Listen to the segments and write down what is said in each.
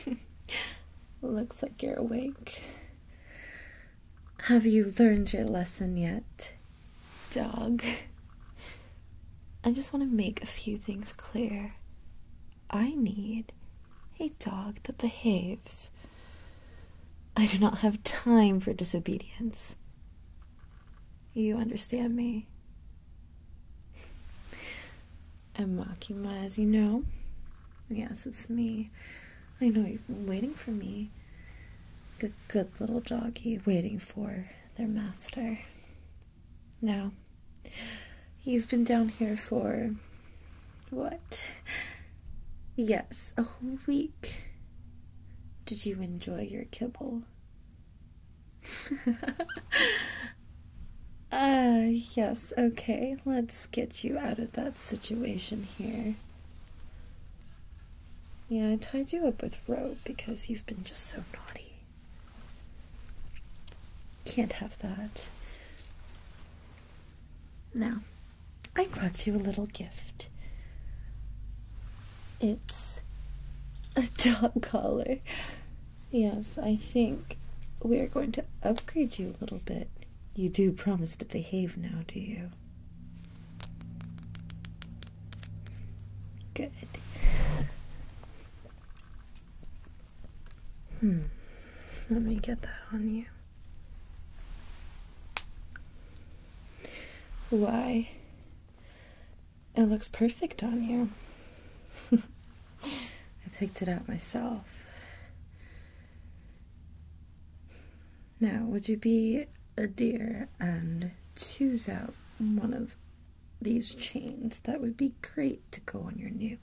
Looks like you're awake. Have you learned your lesson yet, dog? I just want to make a few things clear. I need a dog that behaves. I do not have time for disobedience. You understand me? I'm as you know. Yes, it's me. I know you've been waiting for me. like a good little doggy waiting for their master. Now, he's been down here for. what? Yes, a whole week. Did you enjoy your kibble? Uh, yes, okay. Let's get you out of that situation here. Yeah, I tied you up with rope because you've been just so naughty. Can't have that. Now, I brought you a little gift. It's a dog collar. Yes, I think we are going to upgrade you a little bit. You do promise to behave now, do you? Good. Hmm. Let me get that on you. Why? It looks perfect on you. I picked it out myself. Now, would you be a dear and choose out one of these chains? That would be great to go on your new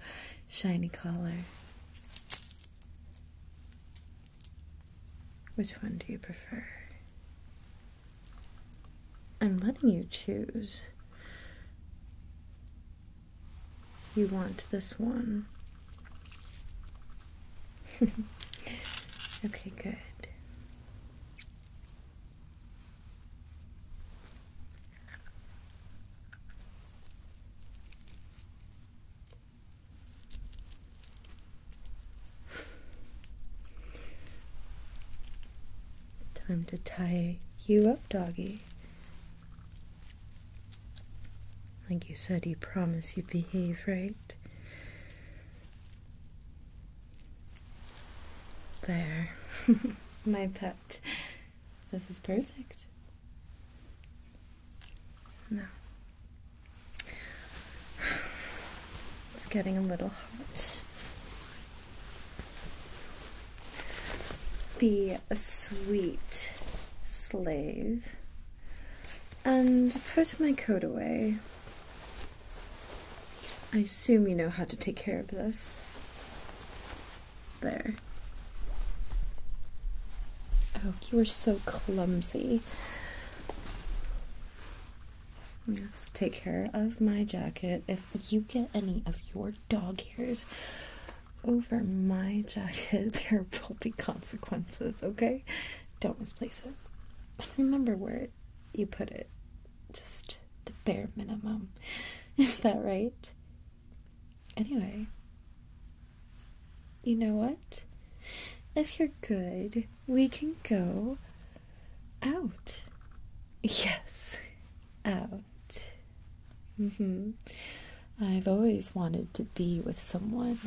shiny collar. Which one do you prefer? I'm letting you choose. You want this one. okay, good. Time to tie you up, doggy. Like you said, you promise you'd behave, right? There. My pet. This is perfect. No. It's getting a little hot. Be a sweet slave and put my coat away. I assume you know how to take care of this. There. Oh, you are so clumsy. Yes, take care of my jacket. If you get any of your dog hairs over my jacket, there will be consequences, okay? Don't misplace it. And remember where you put it. Just the bare minimum. Is that right? Anyway, you know what? If you're good, we can go out. Yes, out. Mm -hmm. I've always wanted to be with someone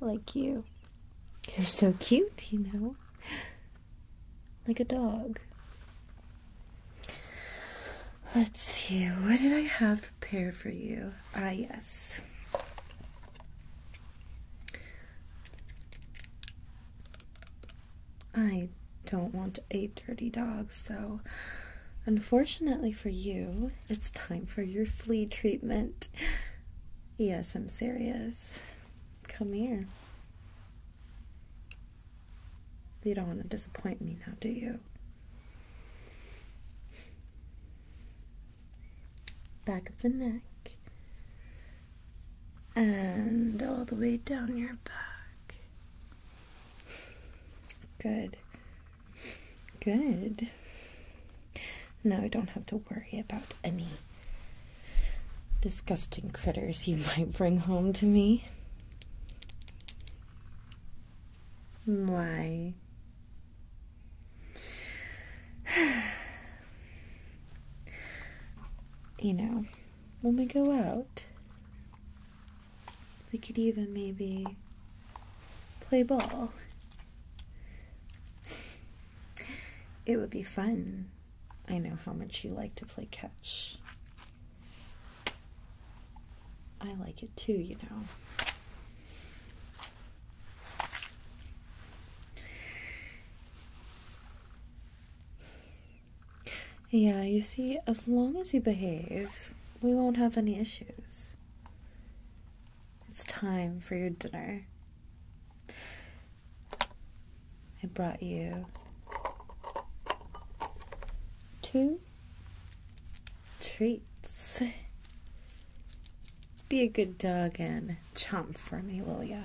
like you. You're so cute, you know, like a dog. Let's see, what did I have prepared for you? Ah, yes. I don't want to eat dirty dogs, so unfortunately for you, it's time for your flea treatment. Yes, I'm serious. Come here. You don't want to disappoint me now, do you? Back of the neck, and all the way down your back. Good. Good. Now I don't have to worry about any disgusting critters you might bring home to me. Why? you know, when we go out, we could even maybe play ball. it would be fun. I know how much you like to play catch. I like it too, you know. Yeah, you see, as long as you behave, we won't have any issues. It's time for your dinner. I brought you two treats. Be a good dog and chomp for me, will ya?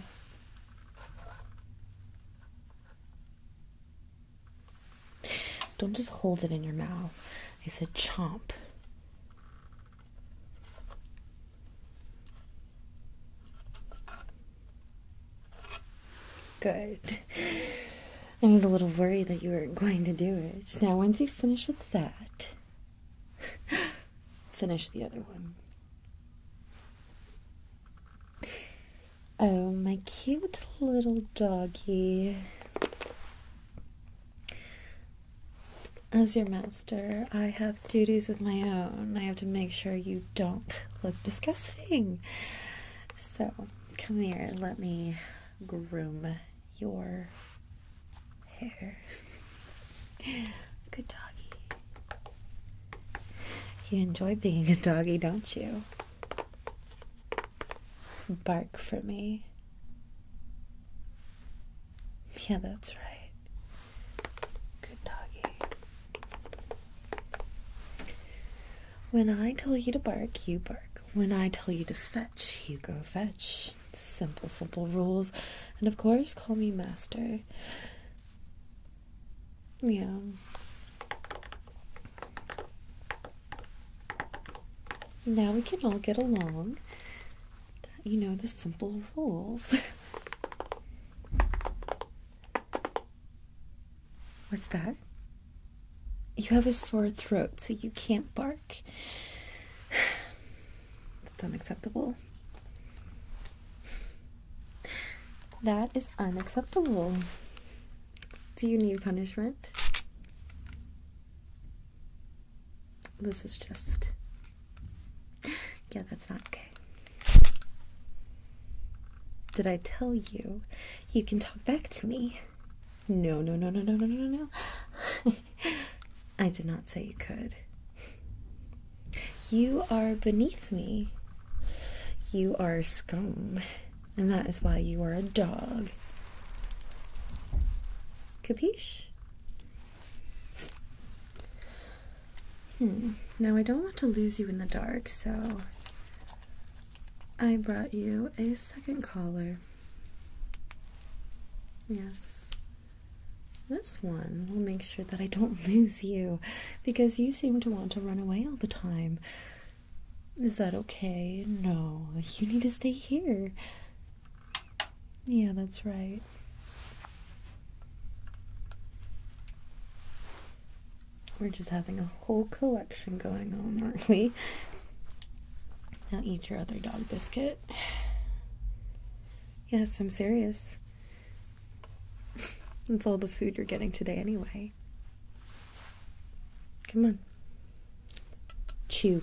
Don't just hold it in your mouth. I said chomp. Good. I was a little worried that you weren't going to do it. Now, once you finish with that, finish the other one. Oh, my cute little doggy. As your master, I have duties of my own. I have to make sure you don't look disgusting. So, come here, let me groom your hair. Good doggy. You enjoy being a doggy, don't you? Bark for me. Yeah, that's right. Good doggy. When I tell you to bark, you bark. When I tell you to fetch, you go fetch. Simple, simple rules. And of course, call me master. Yeah. Now we can all get along. You know, the simple rules. What's that? You have a sore throat, so you can't bark. That's unacceptable. That is unacceptable. Do you need punishment? This is just. Yeah, that's not okay. Did I tell you you can talk back to me? No, no, no, no, no, no, no, no. I did not say you could. You are beneath me. You are scum, and that is why you are a dog. Capiche? Hmm. Now, I don't want to lose you in the dark, so I brought you a second collar. Yes. This one will make sure that I don't lose you because you seem to want to run away all the time. Is that okay? No, you need to stay here. Yeah, that's right. We're just having a whole collection going on, aren't we? Now eat your other dog biscuit. Yes, I'm serious. That's all the food you're getting today, anyway. Come on. Chew.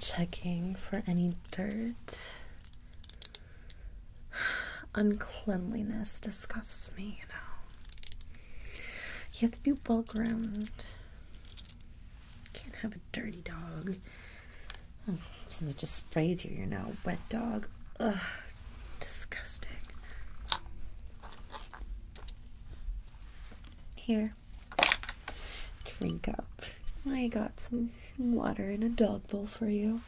Checking for any dirt uncleanliness disgusts me, you know. You have to be well groomed. Can't have a dirty dog. Oh, something just sprayed you, you know. Wet dog. Ugh, disgusting. Here, drink up. I got some water in a dog bowl for you.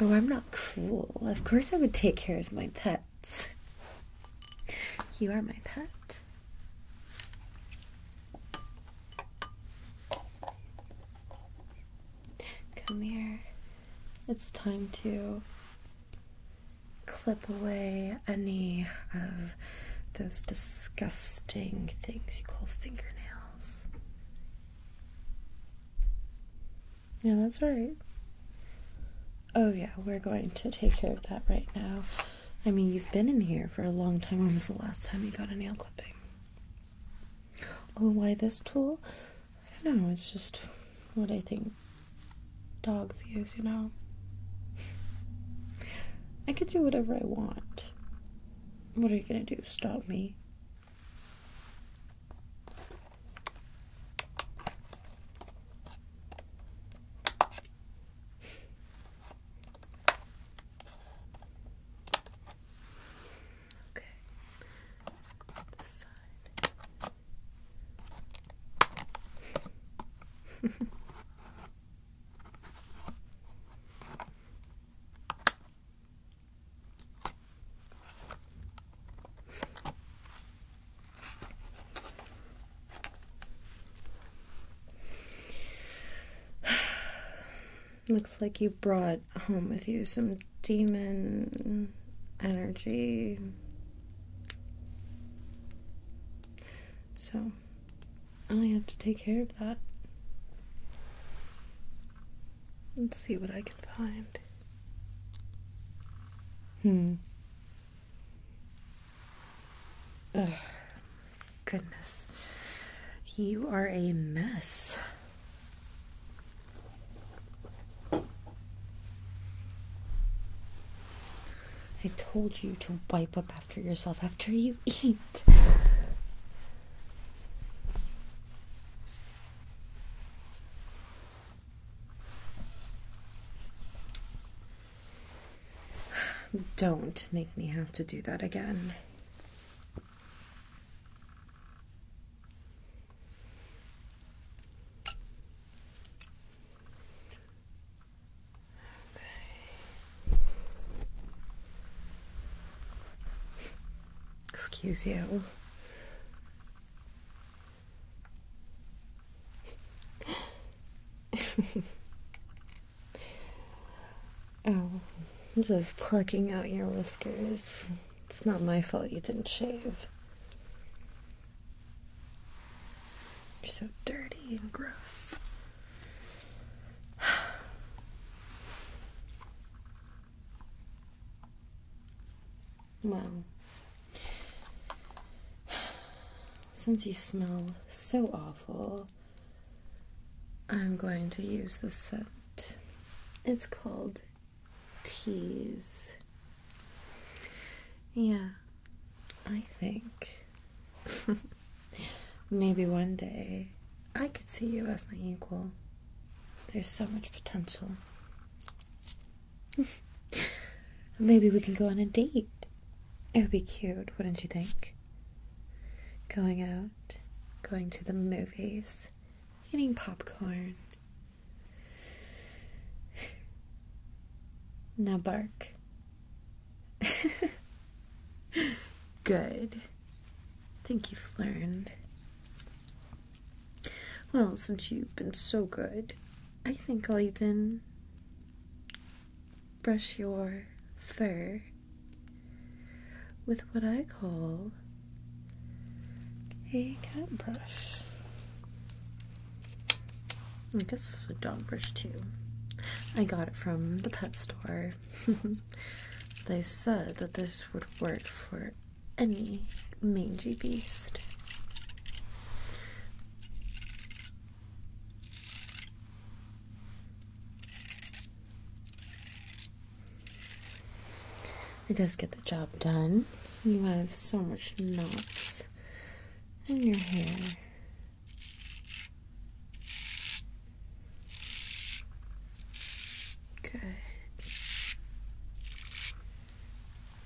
Oh, I'm not cruel. Of course, I would take care of my pets. You are my pet. Come here. It's time to clip away any of those disgusting things you call fingernails. Yeah, that's right. Oh, yeah, we're going to take care of that right now. I mean, you've been in here for a long time. When was the last time you got a nail clipping? Oh, why this tool? I don't know, it's just what I think dogs use, you know? I could do whatever I want. What are you going to do? Stop me? Okay. This side. Looks like you brought home with you some demon energy. So, I have to take care of that. Let's see what I can find. Hmm. Ugh. Goodness. You are a mess. I told you to wipe up after yourself after you eat. Don't make me have to do that again. Excuse you. oh, just plucking out your whiskers. It's not my fault you didn't shave. You're so dirty and gross. Wow. Since you smell so awful, I'm going to use the scent. It's called Tease. Yeah, I think Maybe one day I could see you as my equal. There's so much potential. Maybe we can go on a date. It would be cute, wouldn't you think? Going out, going to the movies, eating popcorn. Now bark. Good. I think you've learned. Well, since you've been so good, I think I'll even brush your fur with what I call a cat brush. I guess this is a dog brush too. I got it from the pet store. they said that this would work for any mangy beast. It does get the job done. You have so much knots in your hair. Good.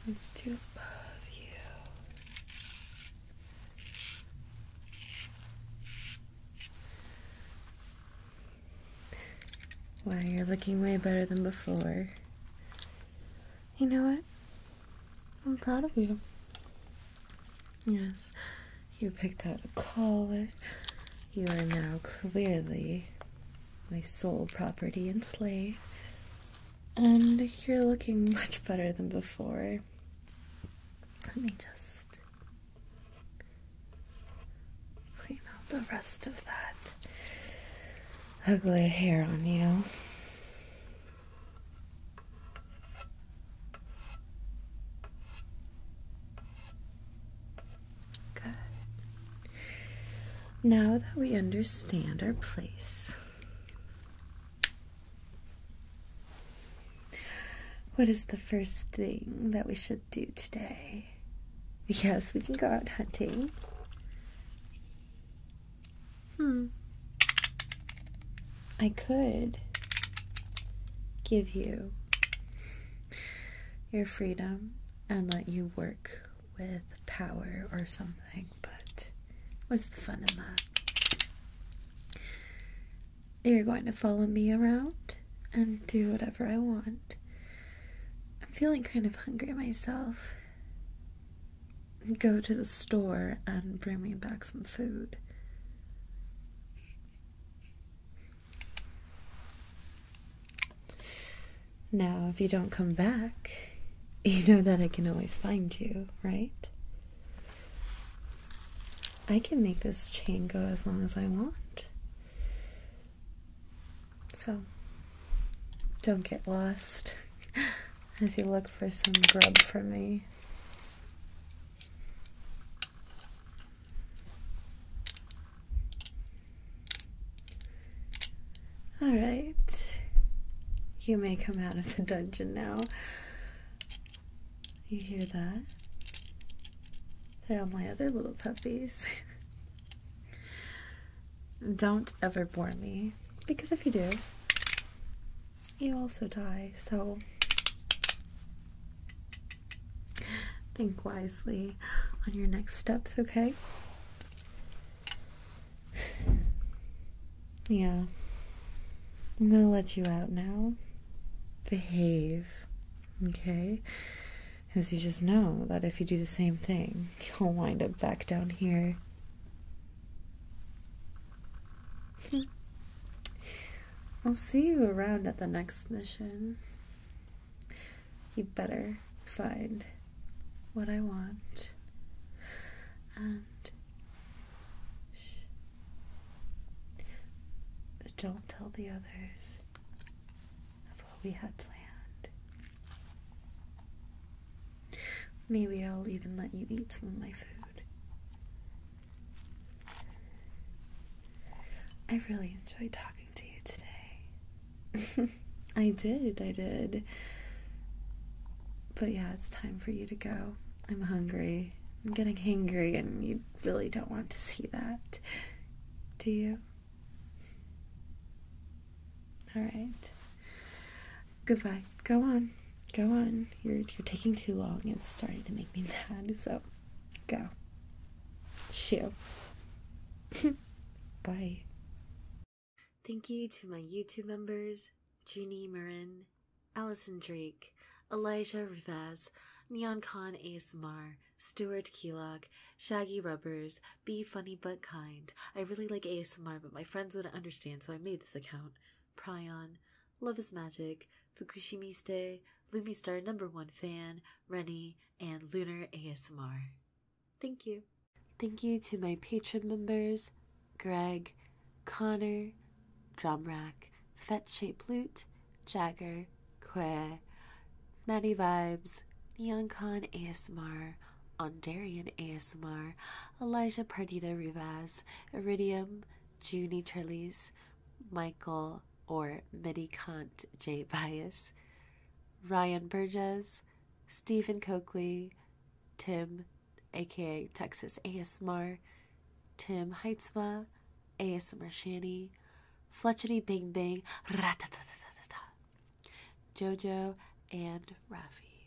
Let's do above you. Wow, you're looking way better than before. You know what? I'm proud of you. Yes, you picked out a collar. You are now clearly my sole property and slave. And you're looking much better than before. Let me just clean out the rest of that ugly hair on you. Good. Now that we understand our place, what is the first thing that we should do today? Yes, we can go out hunting. Hmm. I could give you your freedom and let you work with power or something, but what's the fun in that? You're going to follow me around and do whatever I want. I'm feeling kind of hungry myself go to the store and bring me back some food. Now, if you don't come back, you know that I can always find you, right? I can make this chain go as long as I want. So, don't get lost as you look for some grub for me. All right. You may come out of the dungeon now. You hear that? They're all my other little puppies. Don't ever bore me, because if you do, you also die, so think wisely on your next steps, okay? Yeah. I'm gonna let you out now. Behave, okay? As you just know that if you do the same thing, you'll wind up back down here. I'll see you around at the next mission. You better find what I want. And don't tell the others of what we had planned. Maybe I'll even let you eat some of my food. I really enjoyed talking to you today. I did, I did. But yeah, it's time for you to go. I'm hungry. I'm getting hangry, and you really don't want to see that, do you? All right. Goodbye. Go on. Go on. You're you're taking too long. It's starting to make me mad. So go. Shoo. Bye. Thank you to my YouTube members, Junie Marin, Allison Drake, Elijah Rivas, Neon Khan ASMR, Stuart Kellogg, Shaggy Rubbers, Be Funny But Kind. I really like ASMR, but my friends wouldn't understand, so I made this account. Prion, Love is Magic, Fukushimiste, Lumistar number one fan, Rennie, and Lunar ASMR. Thank you. Thank you to my patron members, Greg, Connor, Drumrack, Fet Shape Lute, Jagger, Que, Maddie Vibes, Neoncon ASMR, Ondarian ASMR, Elijah Pardita Rivas, Iridium, Junie Turleys, Michael or Medikant J. Bias, Ryan Burgess, Stephen Coakley, Tim, aka Texas ASMR, Tim Heitzma, ASMR Shanny, Fletchety Bing Bing, Jojo, and Rafi.